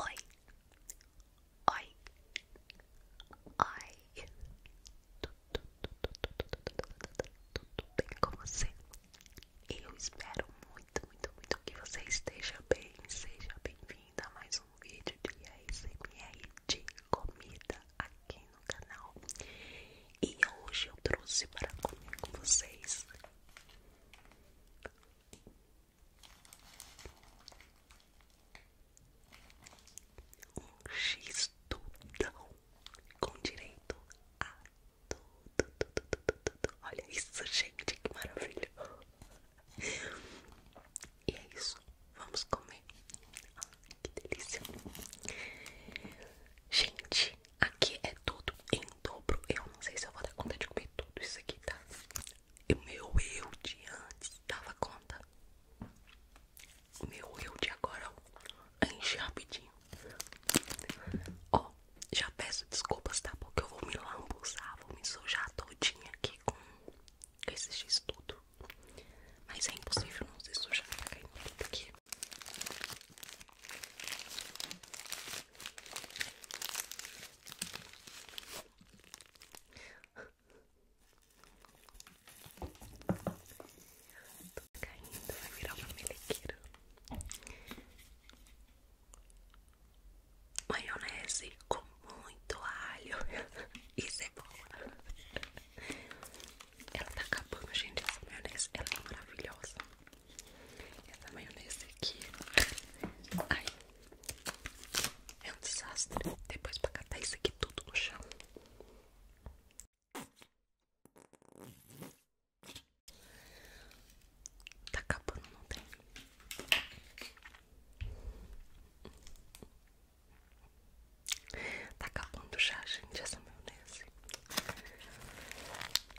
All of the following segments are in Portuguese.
Oi, oi, oi, tudo, tudo, tudo, tudo, tudo bem com você? Eu espero muito, muito, muito que você esteja bem. Seja bem-vinda a mais um vídeo de ASMR de comida aqui no canal. E hoje eu trouxe para comer com vocês um X tudão com direito a tudo, tudo, tudo, tudo. Olha isso, gente, que maravilha! E é isso, vamos comer. que delícia! Gente, Aqui é tudo em dobro. Eu não sei se eu vou dar conta de comer tudo isso aqui, tá? O meu eu de antes dava conta. O meu eu de agora enche rapidinho. Ó, já peço desculpas, tá? Porque eu vou me lambuzar, vou me sujar todinha aqui com esse x Mas é impossível não se sujar, tá caindo aqui. Tô caindo, vai virar uma melequeira. Maionese com muito alho. e cebola é Ela tá acabando, gente. Essa maionese ela é maravilhosa. Essa maionese aqui. Ai. É um desastre. Depois pra catar isso aqui tudo no chão. Tá acabando, não tem? Tá acabando o já, gente, essa maionese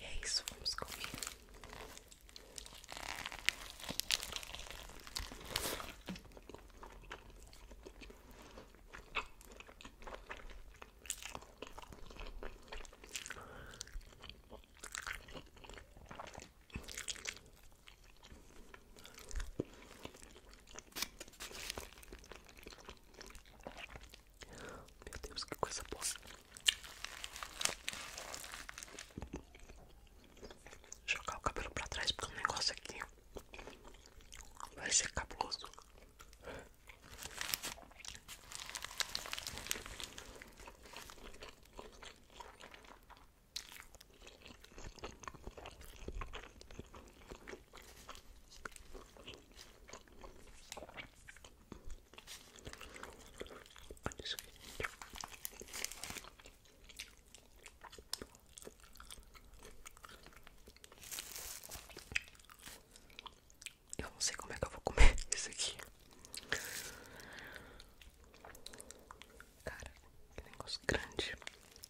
é isso, vamos comer. Meu Deus, que coisa boa. Jogar o cabelo pra trás porque um negócio aqui vai ser cabuloso. Olha isso aqui. Eu não sei como é que eu vou comer isso aqui. Cara, que negócio grande.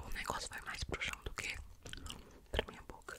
O negócio vai mais pro chão do que pra minha boca.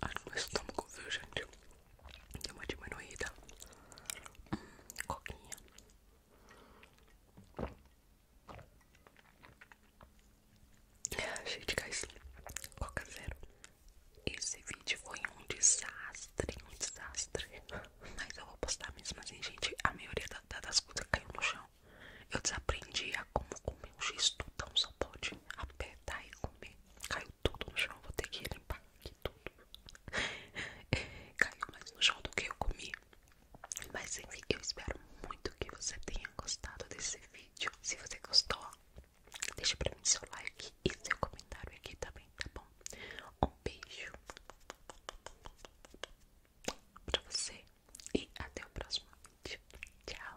Acho que meu estômago, viu, gente? Deu uma diminuída. Hum, coquinha. É, gente de gás. Coca zero. Esse vídeo foi um desastre, um desastre. Mas eu vou postar mesmo assim, gente. A maioria da, das coisas caiu no chão. Eu desaprendi a como comer um gesto tutão só pode apertar e comer. Caiu tudo no chão, vou ter que limpar aqui tudo. Caiu mais no chão do que eu comi. Mas enfim, eu espero muito que você tenha gostado desse vídeo. Se você gostou, deixa pra mim seu like e seu comentário aqui também, tá bom? Um beijo pra você e até o próximo vídeo. Tchau!